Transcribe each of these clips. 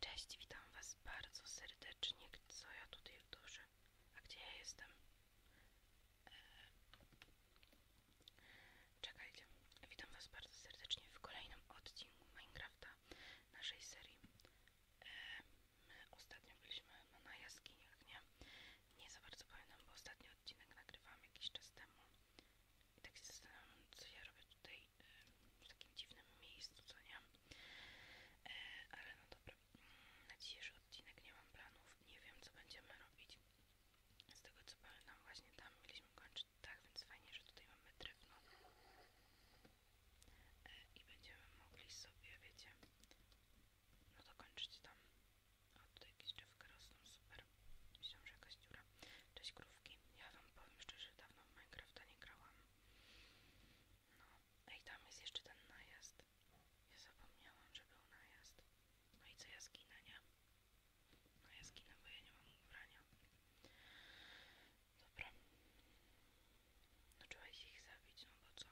Cześć, witam was bardzo serdecznie. Co ja tutaj w duży? A gdzie ja jestem? E, czekajcie. Witam was bardzo serdecznie w kolejnym odcinku Minecrafta naszej serii. E, my ostatnio byliśmy no, na jaskiniach, nie? Nie za bardzo pamiętam, bo ostatni odcinek nagrywałam jakiś czas temu. I tak się zastanawiam, co ja robię tutaj w takim dziwnym miejscu, co nie? E, ale no dobra, mm, na dzisiejszy odcinek nie mam planów, nie wiem co będziemy robić. Z tego co nam właśnie tam mieliśmy kończyć tak, więc fajnie, że tutaj mamy drewno. E, I będziemy mogli sobie, wiecie, no dokończyć tam. O, tutaj jakieś drzewka rosną, super. myślę, że jakaś dziura. Cześć grówki, Ja wam powiem szczerze, dawno w Minecrafta nie grałam. No. Ej, tam jest jeszcze ten najazd. Ja zapomniałam, że był najazd. No i co, ja zginę, nie? No ja zginę, bo ja nie mam ubrania. Dobra. No trzeba ich zabić, no bo co?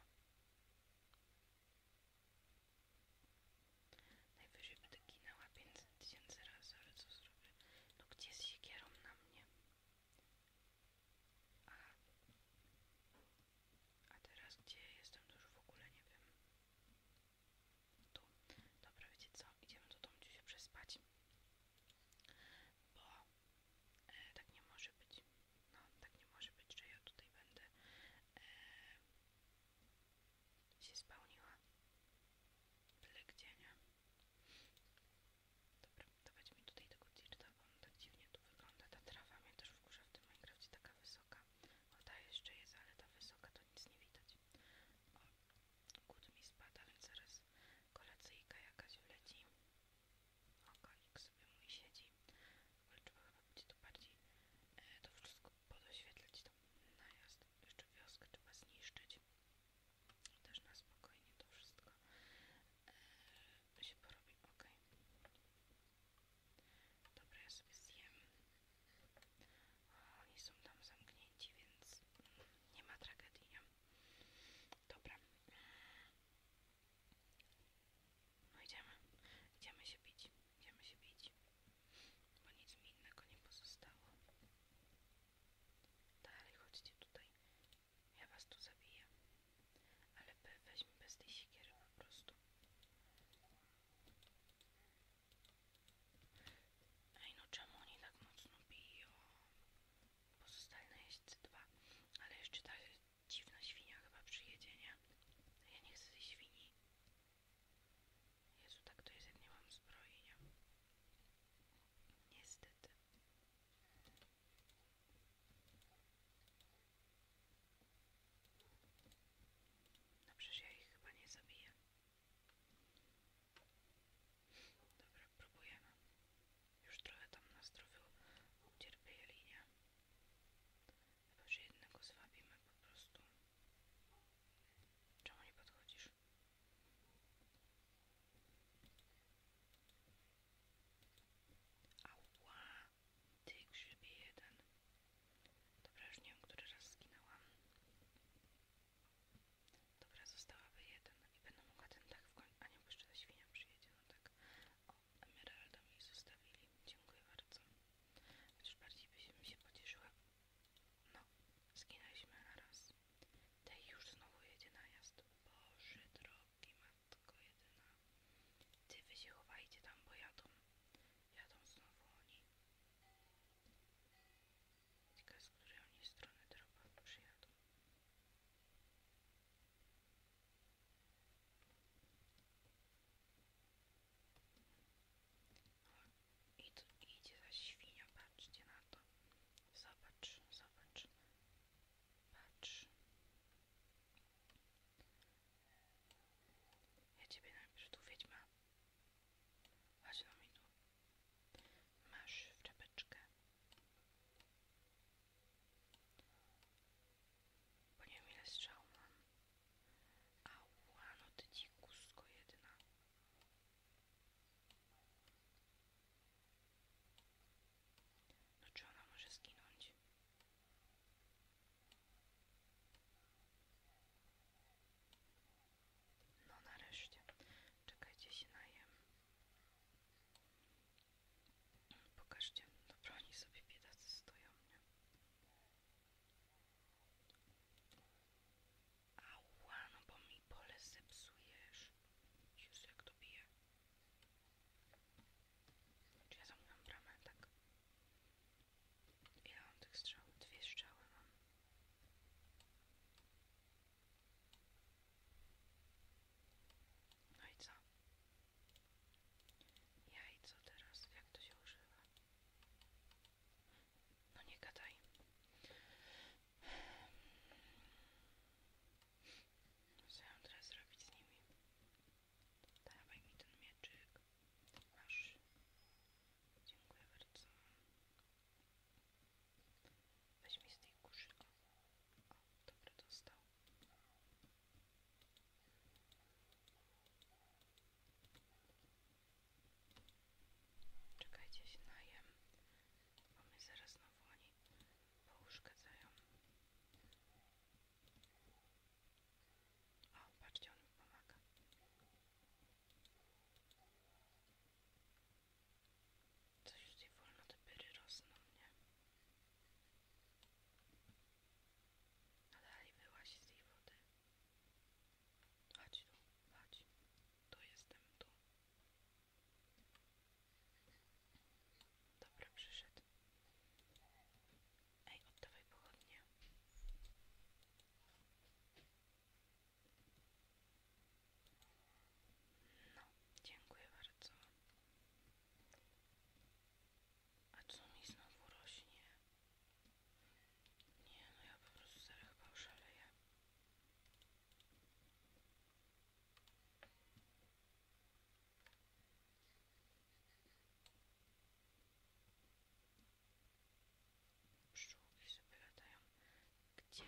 Najwyżej będę ginęła więc tysięcy razy, ale co zrobię? No gdzie z siekierą na mnie? Aha. A teraz gdzie jestem, dużo w ogóle nie wiem. Tu. Dobra, wiecie co? Idziemy do domu się przespać. Bo e, tak nie może być. No, tak nie może być, że ja tutaj będę e, się spełniła. Tyle gdzie, nie? Dobra, dawać mi tutaj tego dirta, bo on tak dziwnie tu wygląda. Ta trawa mnie też w górze w tym Minecraftie taka wysoka. O, ta jeszcze jest, ale ta wysoka to nic nie widać. O, głód mi spada, więc zaraz kolacyjka jakaś wleci. O, konik sobie mój siedzi. Ale trzeba chyba to bardziej e, to wszystko podoświetlać, to najazd. Jeszcze wioskę trzeba zniszczyć też na spokojnie to wszystko e, się porobi ok dobra ja sobie zjem o, oni są tam zamknięci więc nie ma tragedii dobra no idziemy idziemy się bić idziemy się bić bo nic mi innego nie pozostało Dalej, chodźcie tutaj. Ja was tu zabiję. Ale weź bez tej siekiery po prostu. Ej, no czemu oni tak mocno biją? Pozostali na jeźdźcy dwa. Ale jeszcze ta dziwna świnia chyba przyjedzie, nie? Ja nie chcę tej świni. Jezu, tak to jest, jak nie mam zbroi, Niestety. No przecież ja ich chyba nie zabiję. Dobra, próbujemy. Już trochę tam na zdrowiu ucierpieli, nie? Chyba, że jednego zwabimy po prostu. Czemu nie podchodzisz? Ała, ty grzybie jeden. Dobra, już nie wiem, który raz skinęłam. Dobra, zostałaby jeden i będę mogła ten tak w końcu... A nie, bo jeszcze ta świnia przyjedzie, no tak. O, emeralda mi zostawili. Dziękuję bardzo. Chociaż bardziej by się, mi no, zginęliśmy raz. Tej już znowu jedzie najazd. Boże drogi, matko jedyna. Ty wy się chowajcie tam, bo jadą. Jadą znowu oni. Dzika z której oni strony dropa przyjadą. I tu idzie za świnia, patrzcie na to. Zobacz, zobacz. Patrz. Ja ciebie najpierw tu wiedźma. Chodź na mnie tu. Masz w czapeczkę. Bo nie wiem ile strzał mam. Ała, no to dzikusko jedna. No czy ona może zginąć? No nareszcie. Czekajcie, się najem. Pokażcie, no broni sobie biedacy stoją, nie? Ała, no bo mi pole zepsujesz. Jezu, jak to bije. Czy ja zamknąłem bramę? Tak. Ile mam tych strzał? Dwie strzały mam. No i co? Ja i co teraz? Jak to się używa? No nie gadaj. Co ja teraz zrobić z nimi? Dawaj mi ten mieczyk. Masz. Dziękuję bardzo. Weź mi z tej kurzy. O, o dobra, dostał. Czekajcie, się najem, bo mnie zaraz znowu oni pouszkadzają. O, patrzcie, on mi pomaga. Coś tutaj wolno te pyry rosną, nie? No dalej wyłazi z tej wody. Chodź tu, chodź. Tu jestem, tu. Dobra, przyszedł. Ej, oddawaj No, dziękuję bardzo. A co mi znowu rośnie? Nie no, ja po prostu zaraz chyba oszaleję. Pszczółki sobie Gdzie?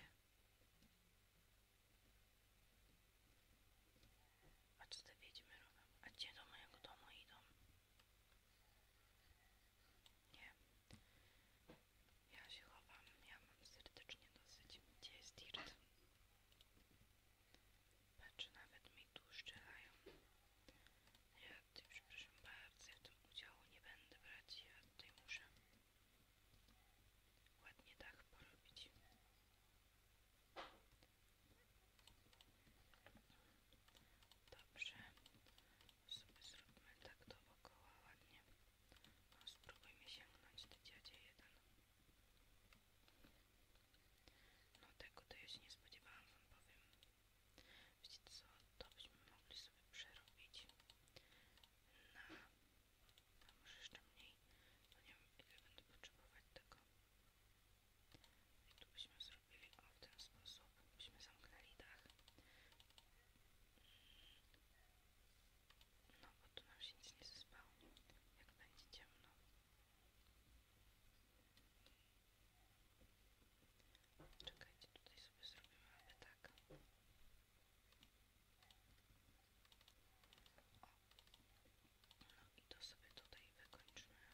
A co te robią? A gdzie do mojego domu idą? Nie. Ja się chowam. Ja mam serdecznie dosyć. Gdzie jest dirt? Patrz, nawet mi tu szczelają. Ja tutaj, przepraszam bardzo, ja w tym udziału nie będę brać. Ja tutaj muszę ładnie dach porobić. Dobrze. Sobie zróbmy tak dookoła ładnie. No, spróbujmy sięgnąć do dziadzie jeden. No tego to ja się nie spodziewałam wam powiem. Wiecie co, to byśmy mogli sobie przerobić na... może jeszcze mniej, bo no, nie wiem ile będę potrzebować tego. I tu byśmy zrobili o w ten sposób. Byśmy zamknęli dach. No bo tu nam się nic nie zespało, jak będzie ciemno. Czekajcie, tutaj sobie zrobimy aby tak. O. No i to sobie tutaj wykończymy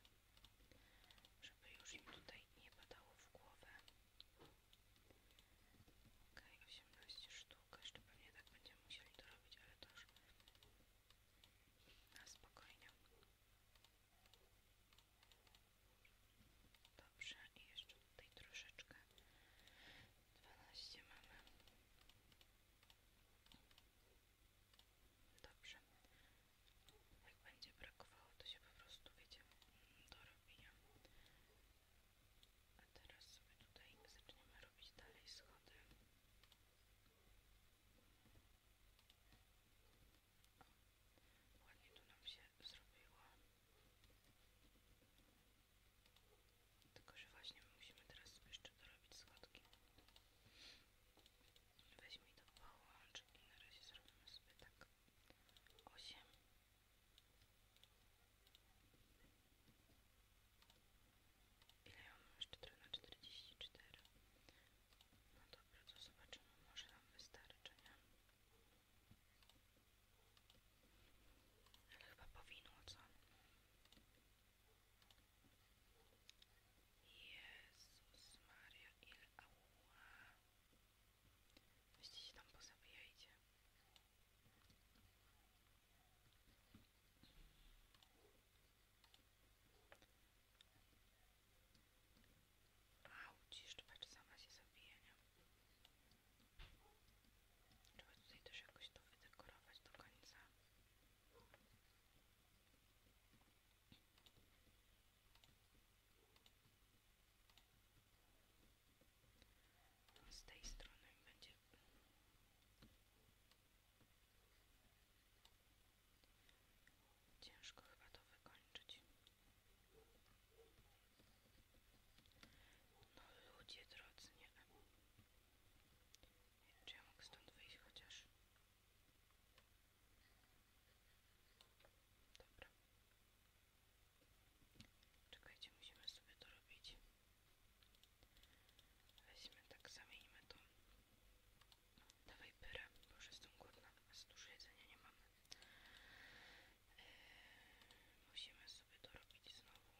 żeby już im tutaj nie padało w głowę. Ok, 18 sztuk, jeszcze pewnie tak będziemy musieli to robić, ale to już na spokojnie. Dobrze, i jeszcze tutaj troszeczkę. 12 mamy. Dobrze. Jak będzie brakowało, to się po prostu, wiecie, dorobię. A teraz sobie tutaj zaczniemy robić dalej schody. O, ładnie tu nam się zrobiło. Tylko, że właśnie my musimy teraz jeszcze dorobić schodki. Weźmy to połącz i na razie zrobimy sobie tak 8 Ile ja mam jeszcze trochę na 44? No dobra, to zobaczymy, może nam wystarczy, nie? Ale chyba powinno, co? Jezus Maria, ile ała. Weźcie się tam pozabijajcie. Auć, jeszcze patrz, sama się zabije, nie? Trzeba tutaj też jakoś to wydekorować do końca. A z tej strony będzie ciężko chyba to wykończyć. No ludzie drodzy, nie Czy ja mogę stąd wyjść chociaż? Dobra. Czekajcie, musimy sobie to robić. Weźmy tak, zamienimy to. Dawaj pyrę, bo już jestem głodna, a za dużo jedzenia nie mamy. Yy, musimy sobie to robić znowu.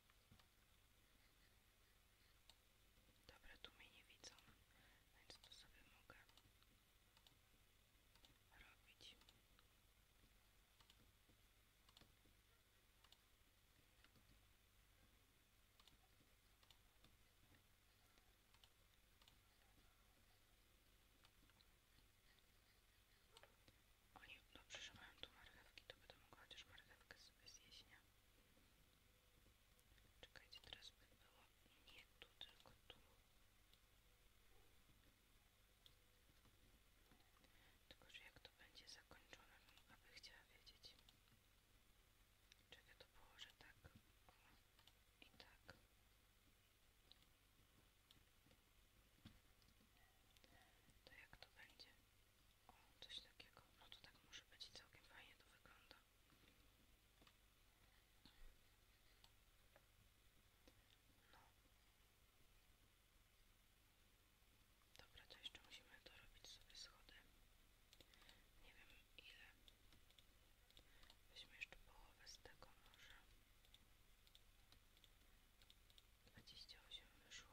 Dobra, tu mnie nie widzą, no więc to sobie mogę robić. Oni dobrze, no, że mają tu marchewki, to będę mogła chociaż marchewkę sobie zjeść, nie? Czekajcie, teraz by było nie tu, tylko tu. Tylko, że jak to będzie zakończone, no aby chciała wiedzieć. Czekaj, to położę tak. O, I tak. To jak to będzie? O, coś takiego. No to tak może być całkiem fajnie to wygląda. No. Dobra, to jeszcze musimy dorobić sobie schody. Nie wiem ile. Weźmy jeszcze połowę z tego może. 28 wyszło.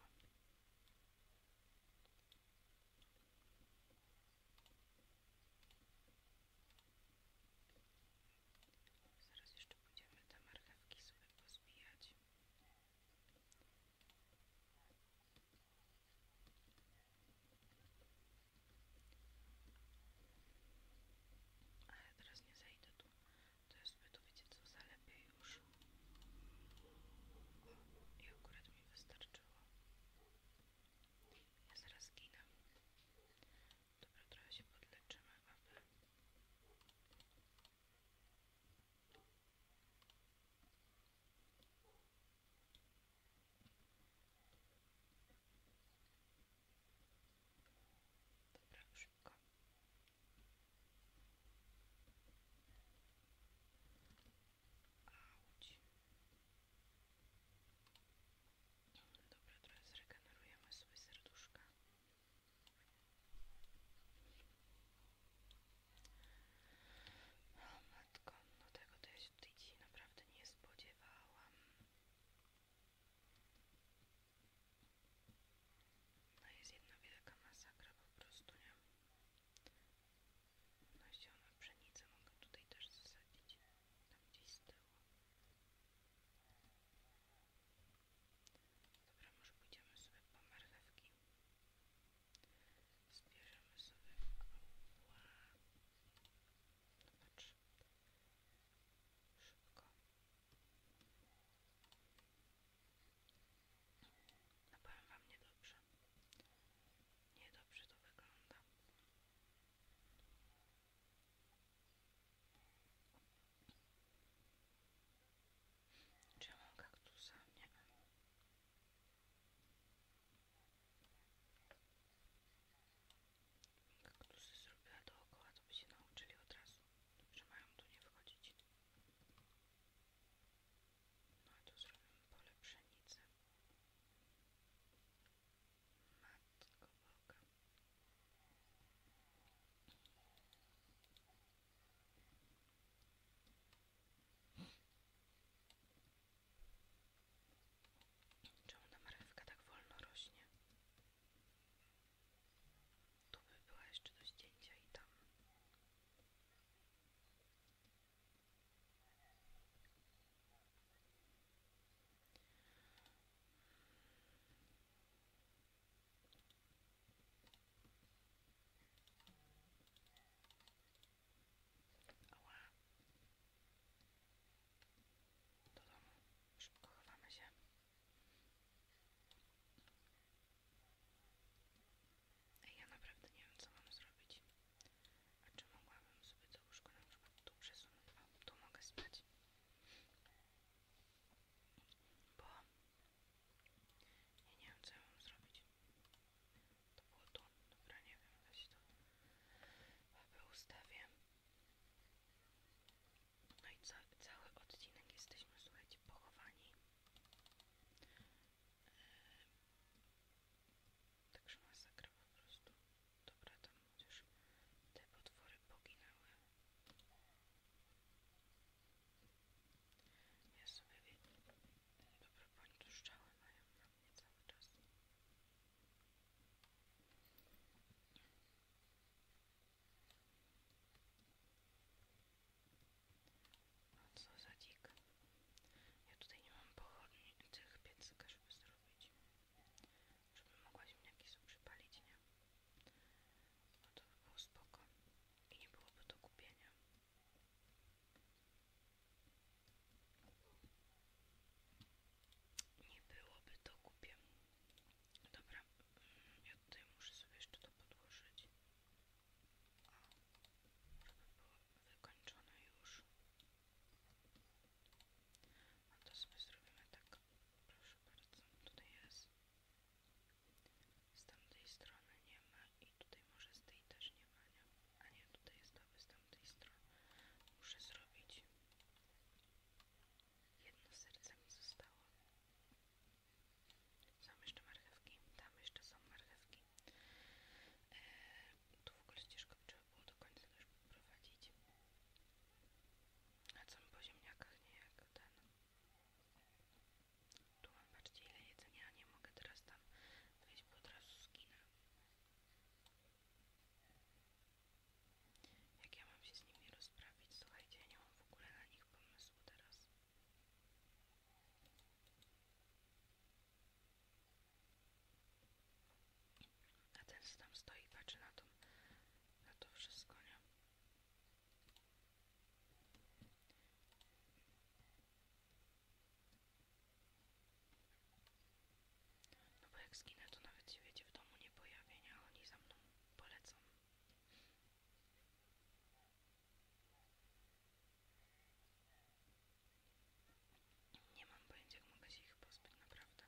Zaraz jeszcze będziemy te marchewki sobie pozbijać. Ale teraz nie zejdę to jest sobie tu wiecie co już i akurat mi wystarczyło ja zaraz ginę dobra, trochę się podleczymy aby Dobra, szybko. Auć. Dobra, teraz regenerujemy sobie serduszka. O matko, no tego to ja naprawdę nie spodziewałam. No jest jedna wielka masakra po prostu, nie? No ziona, pszenicę mogę tutaj też zasadzić, tam gdzieś z tyłu. Dobra, może pójdziemy sobie po marchewki. Zbierzemy sobie... Ła. Zobacz. Szybko. No powiem wam niedobrze. Niedobrze to wygląda. Czy ja mam kaktusa? Nie mam. Kaktusy zrobiła dookoła, to by się nauczyli od razu, że mają tu nie wchodzić. Ma no, tu zrobione pole pszenicy. Matko Boga. Czemu ta marchewka tak wolno rośnie? To by była jeszcze do zdjęcia i tam. Ała. Do domu. Szybko chowamy się. Ej, ja naprawdę nie wiem, co mam zrobić. A czy mogłabym sobie to łóżko na przykład tu przesunąć? tu mogę spać. Bo ja nie wiem, co ja mam zrobić. To było tu. Dobra, nie wiem, weź to. Chyba ustawię. No i cały odcinek jesteśmy, słuchajcie, pochowani. także masakra po prostu. Dobra, tam chociaż te potwory poginęły. Ja sobie wiem. Dobra, pani tu szczały mają na mnie cały czas. A co za dzik? Ja tutaj nie mam pochodni tych piecyka, żeby zrobić. Żeby mogła ziemniaki sobie przypalić, nie? No to by było spoko. I nie byłoby do kupienia. Nie byłoby do kupienia. Dobra, mm, ja tutaj muszę sobie jeszcze to podłożyć. O, może by było wykończone już. A to sobie zrobimy tak. Proszę bardzo, tutaj jest. Z tamtej strony nie ma i tutaj może z tej też nie ma, nie? A nie, tutaj jest aby z tamtej strony. Muszę zrobić Jedno serce mi zostało. Są jeszcze marchewki. Tam jeszcze są marchewki. E, tu w ogóle ścieżkę trzeba było do końca już poprowadzić. A co mi po ziemniakach nie jak ten. Tu mam patrzcie ile jedzenia, nie mogę teraz tam wejść, bo od razu zginę. Jak ja mam się z nimi rozprawić? Słuchajcie, ja nie mam w ogóle na nich pomysłu teraz. A ten tam stoi i patrzy na to, na to wszystko, nie? No bo jak zginę, to nawet się wiecie w domu nie pojawię, nie? Oni za mną polecam. Nie mam pojęcia, jak mogę się ich pozbyć, naprawdę.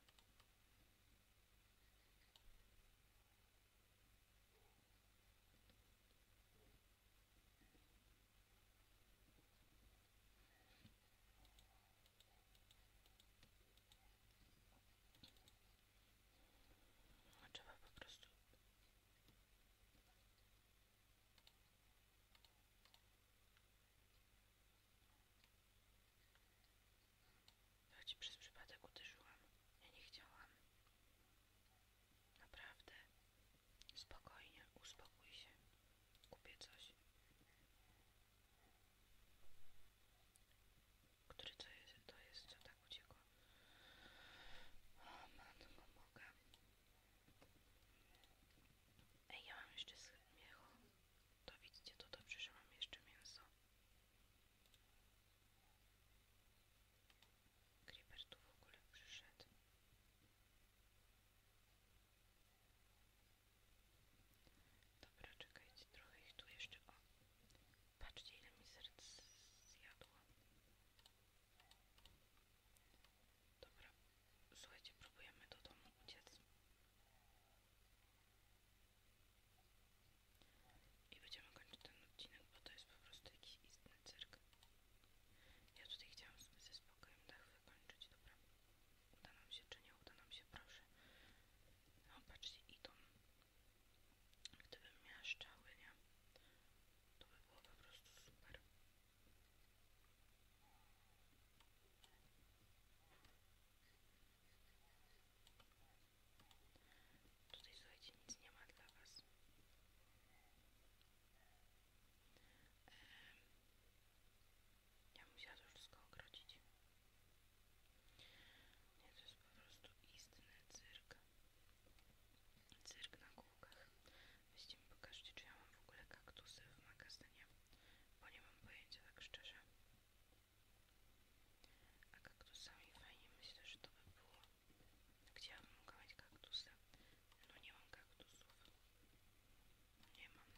Trzeba po prostu ja ci przez przypadek uderzyłam. Ja nie chciałam. Naprawdę. Spokojnie, uspokój się. Kupię coś. Który to jest? To jest, co tak uciekło? O matko mogę. Ej, ja mam jeszcze miecho. To widzicie, to dobrze, że mam jeszcze mięso. Creeper tu w ogóle przyszedł. Dobra, czekajcie, trochę ich tu jeszcze, patrzcie ile mi serc zjadło. Dobra, słuchajcie, próbujemy do domu uciec. I będziemy kończyć ten odcinek, bo to jest po prostu jakiś istny cyrk. Ja tutaj chciałam sobie ze spokojem dach wykończyć, dobra uda nam się czy nie uda nam się, proszę. No patrzcie, idą. Gdybym miała szczały, To by było super. Tutaj słuchajcie, nic nie ma dla was. Ja musiałam to wszystko ogrodzić. Nie, to jest po prostu istny cyrk. Cyrk na kółkach. Weźcie mi pokażcie, czy ja mam w ogóle kaktusy w magazynie, bo nie mam pojęcia tak szczerze. A kaktusami fajnie myślę, że to by było. Gdzie ja bym mogła mieć No nie mam kaktusów nie mam.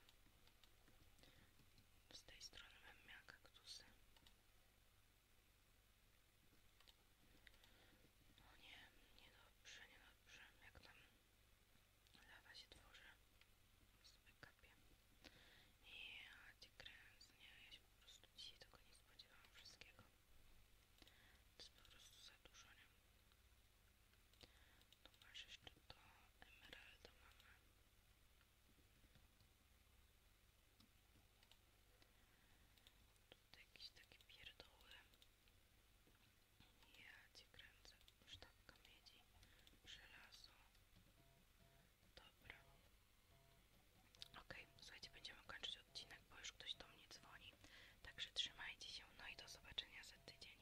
Z tej strony mam miała kaktusy. No nie, niedobrze, niedobrze. Jak tam lawa się tworzy, sobie kapie. Ja cię kręcę, nie, ja się po prostu dzisiaj tego nie spodziewałam wszystkiego. To jest po prostu za dużo, nie? Tu masz jeszcze to emeraldo mamy. Tutaj jakieś takie pierdoły. Ja cię kręcę. Sztabka miedzi. Żelazo. Dobra. Ok, słuchajcie, będziemy kończyć odcinek, bo już ktoś do mnie dzwoni. Także trzymajcie się, no i do zobaczenia za tydzień.